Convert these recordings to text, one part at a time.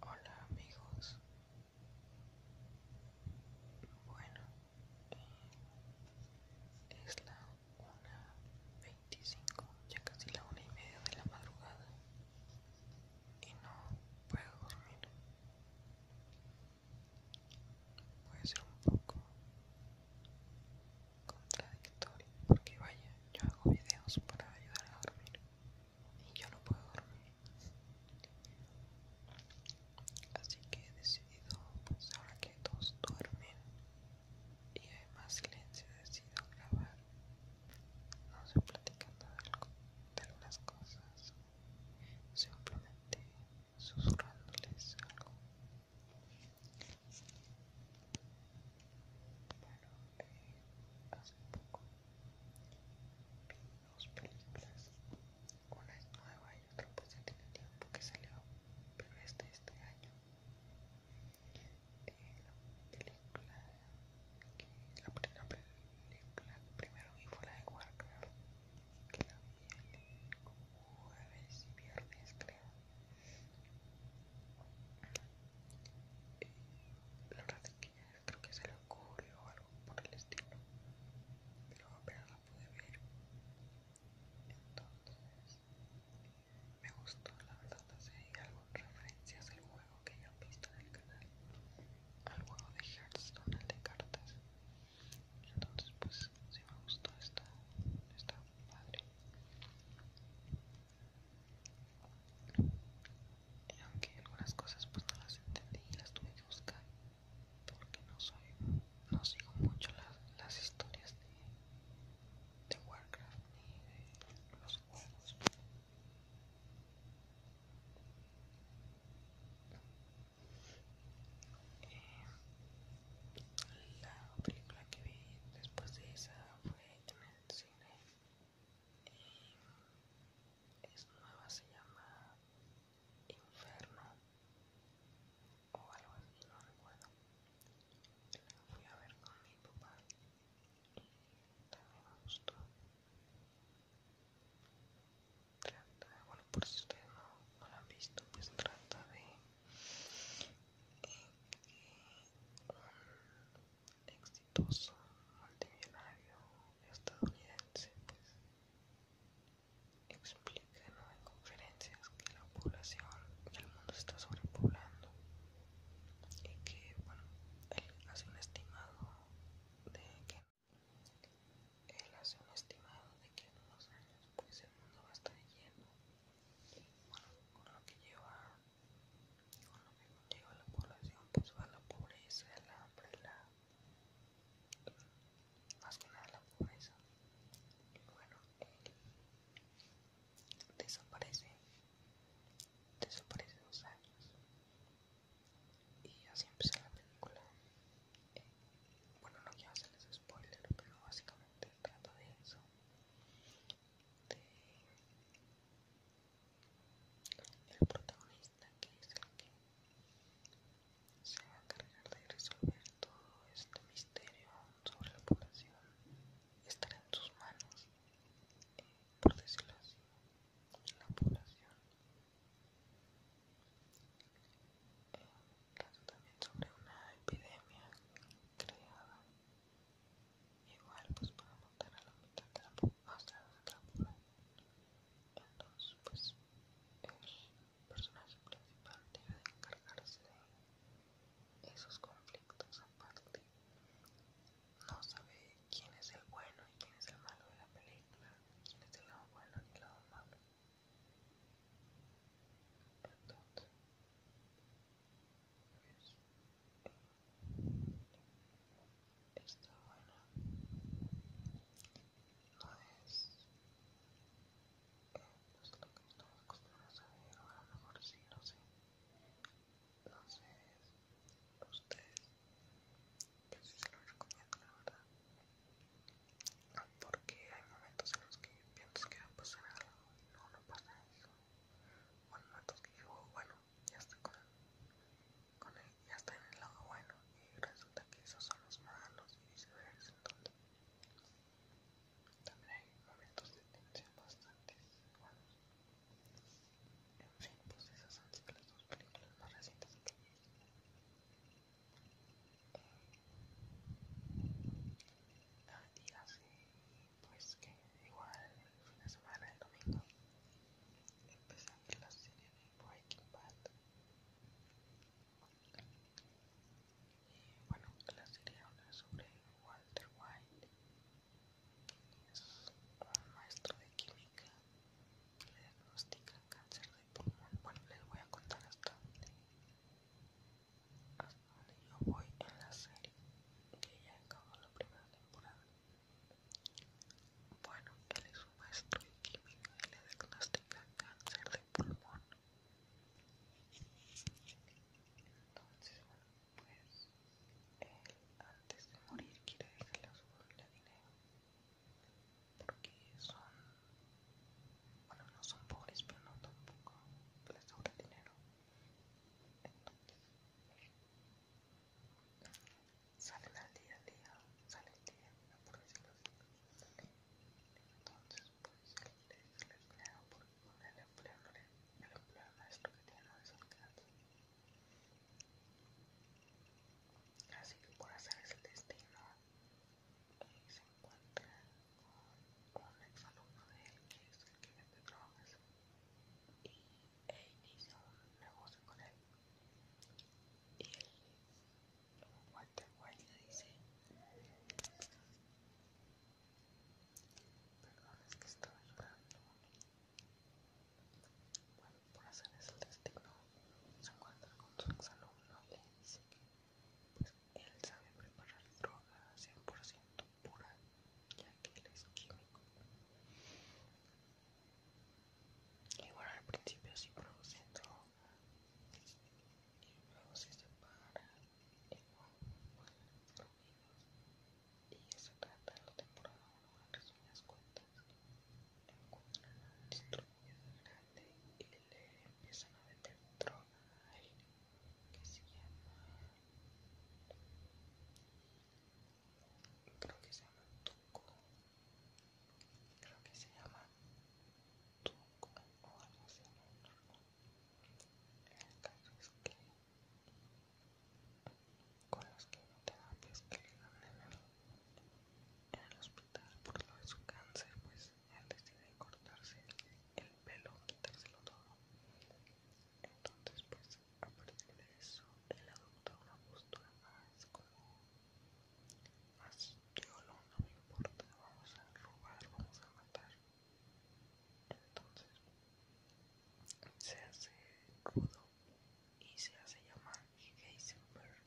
Hola amigos bueno eh, es la una ya casi la una y media de la madrugada y no puedo dormir puede ser un poco contradictorio porque vaya yo hago videos para ayudar a dormir y yo no puedo dormir. Así que he decidido, pues ahora que todos duermen y hay más silencio, he decidido grabar, no sé, platicando de, algo, de algunas cosas, simplemente susurrándoles algo. Bueno, eh, hace poco Vi dos películas, una es nueva y otra pues ya tiene tiempo que salió, pero es de este año. Eh, la primera película que primero vi fue la de Warcraft, que la vi el jueves y viernes creo creo que se le ocurrió o algo por el estilo, pero apenas la pude ver. Entonces, me gustó, la verdad, hay algunas referencias al juego que ya he visto en el canal, al juego de Hearthstone, el de cartas. Entonces, pues, si me gustó, esta, está padre. Y aunque algunas cosas pues no las entendí y las tuve que buscar porque no soy, no sigo mucho las, historias de, Warcraft ni de los juegos. Eh, la película que vi después de esa fue en el cine es nueva, se llama Inferno o algo así, no recuerdo. La fui a ver con mi papá y también me gustó. Trata, bueno, por si ustedes no, la han visto, pues trata de. Eh, exitoso multimillonario estadounidense, pues explica en conferencias que la población, del mundo está sobrepoblando y que, bueno, él hace un estimado de que él hace un estimado de que en unos años pues el mundo va a estar lleno, bueno, con lo que lleva con lo mismo la población, pues va la pobreza, el hambre, la... más que nada la pobreza. Y bueno, desaparece, desaparece dos años. Y así empieza la película. bueno, no quiero hacerles spoiler, pero básicamente trata de eso. De el protagonista que es el que se va a encargar de resolver todo este misterio sobre la población estará en sus manos eh, por decirlo así la población eh, también sobre una epidemia creada igual pues para montar a la mitad de la hasta la entonces pues el personaje principal debe de encargarse de esos conflictos aparte no sabe quién es el bueno y quién es el malo de la película quién es el lado bueno y el lado malo entonces pues, está bueno, no es eh, no es lo que estamos acostumbrados a ver o a lo mejor sí, no sé no sé ustedes yo pues sí se lo recomiendo la verdad porque hay momentos en los que piensas que va a pasar algo y no, no pasa eso o en momentos que digo, bueno, ya está con, el, ya está en el lado bueno y resulta que esos son los malos y viceversa. Entonces, también hay momentos de tensión bastante buenos. En fin, pues esas han sido las dos películas más recientes que ah, pues que igual el fin de semana, el domingo, empezando la serie de Breaking Bad. Y bueno, la serie habla sobre Walter White, que es un maestro de química que le diagnostica cáncer de pulmón. Bueno, les voy a contar hasta dónde, hasta dónde yo voy en la serie, que ya acabó la primera temporada. Bueno, él es un maestro de química y le diagnostica cáncer de pulmón. Entonces, bueno, pues él antes de morir quiere dejarle a su familia dinero. Porque son, bueno, no son pobres, pero no tampoco les sobra dinero. Entonces, sale al día a día, sale día a día, por Entonces, pues el, el el empleo, el empleo lo que tiene no alcance. Así que por hacer ese destino, se encuentra con, ex alumno de él, que es el que drogas, e inicia un negocio con él. Y él, Walter le dice, perdón, es que estaba llorando. Bueno, por hacer eso el destino, se encuentra con su exalumno y le dice que pues, él sabe preparar drogas 100% pura, ya que él es químico. Igual bueno, al principio sí produce droga y luego se separa y luego y eso trata de la temporada 1 en resumidas cuentas. Encuentran a un distribuidor grande y le empiezan a vender droga a él que se llama creo que se llama Tuco, creo que se llama Tuco o algo así, El caso es que con los quimioterapias que le dan en el hospital por lo de su cáncer, pues él decide cortarse el pelo, quitárselo todo. Entonces, pues a partir de eso él adopta una postura más como más lo no me importa, vamos a robar, vamos a matar entonces se hace rudo y se hace llamar Heisenberg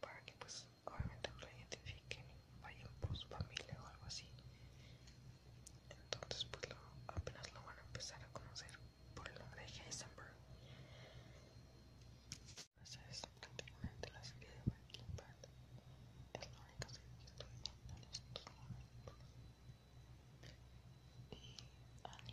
para que pues obviamente lo identifiquen y vayan por su familia o algo así entonces pues lo, apenas lo van a empezar a conocer por el nombre de Heisenberg esa es prácticamente la serie de Breaking Bad es la única serie que estoy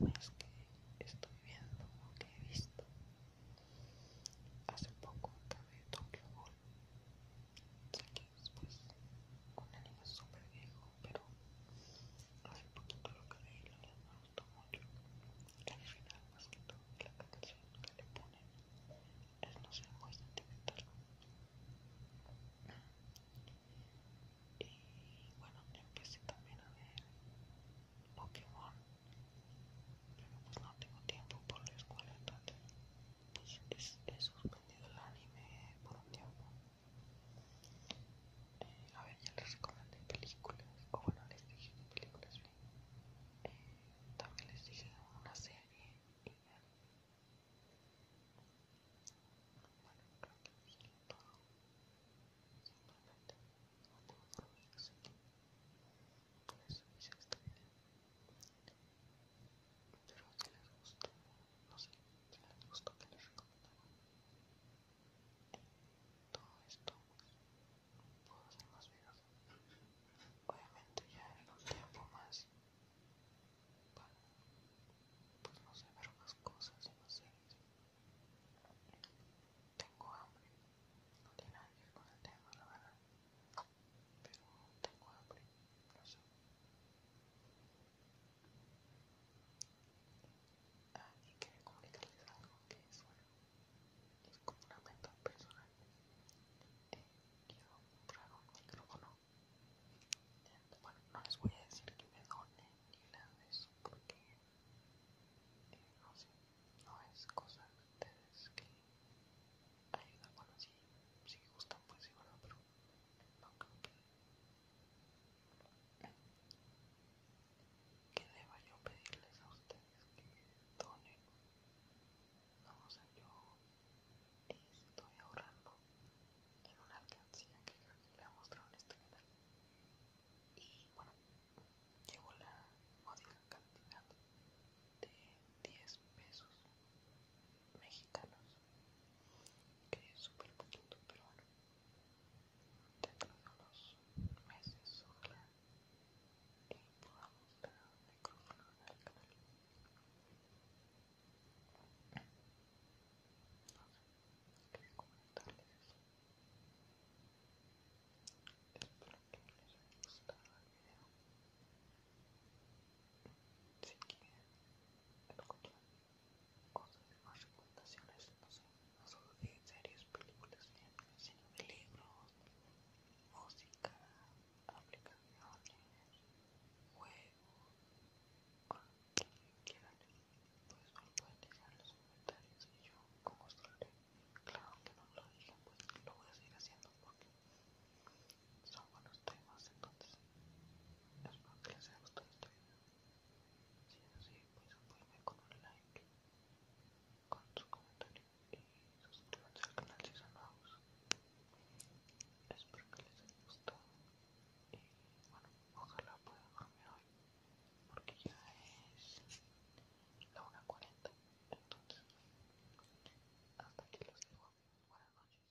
viendo en estos momentos y animes que estoy viendo o que he visto hace poco acabé Tokyo Ghoul que es pues un anime súper viejo pero hace poquito lo creí la verdad me gustó mucho al final más que todo la canción que le pone es no sé muy sentimental y bueno empecé también a ver Pokémon pero pues no tengo tiempo por la escuela entonces pues, he suspendido el anime por un tiempo a ver, ya les recomendé películas, o bueno, les dije de películas, eh, también les dije de una serie y ya. Bueno, creo que lo es todo. Simplemente no puedo dormir, así que por eso hice esta video. Espero que les guste no sé si les gustó que les todo esto puedo hacer más videos obviamente ya en un tiempo más para pues no sé ver más cosas y más series tengo hambre no tiene nada que ver con el tema la verdad pero tengo hambre sé y quería comunicarles algo que es, bueno, es como una meta personal. quiero eh, comprar un micrófono. bueno, no les voy a decir que me donen ni nada de eso porque, eh, no sé, no es cosa de ustedes que ayudan. Bueno, si, si gustan, pues sí, bueno, pero ¿Qué deba yo pedirles a ustedes que donen? No, o yo estoy ahorrando en una alcancía que creo le he mostrado en este canal. Y bueno, llevo la módica cantidad de 10 pesos mexicanos que es súper poquito, pero bueno, dentro de unos meses, ojalá que podamos dar un micrófono en el canal. No sé, quería comentarles eso. Espero que les haya gustado el video. Si quieren escuchar cosas de más recomendaciones, no sé, no solo de series, películas, sino de libros, música, aplicaciones, juegos, o lo que quieran, pues me lo pueden dejar en los comentarios y yo como suele, Claro que no lo dije, pues lo voy a seguir haciendo porque son buenos temas, entonces espero que les haya gustado este video. Si es así, pues apóyame con un like, con su comentario y suscríbanse al canal si son nuevos. Espero que les haya gustado y bueno, ojalá puedan dormir hoy porque ya es la 1.40 entonces hasta aquí los dejo. Buenas noches.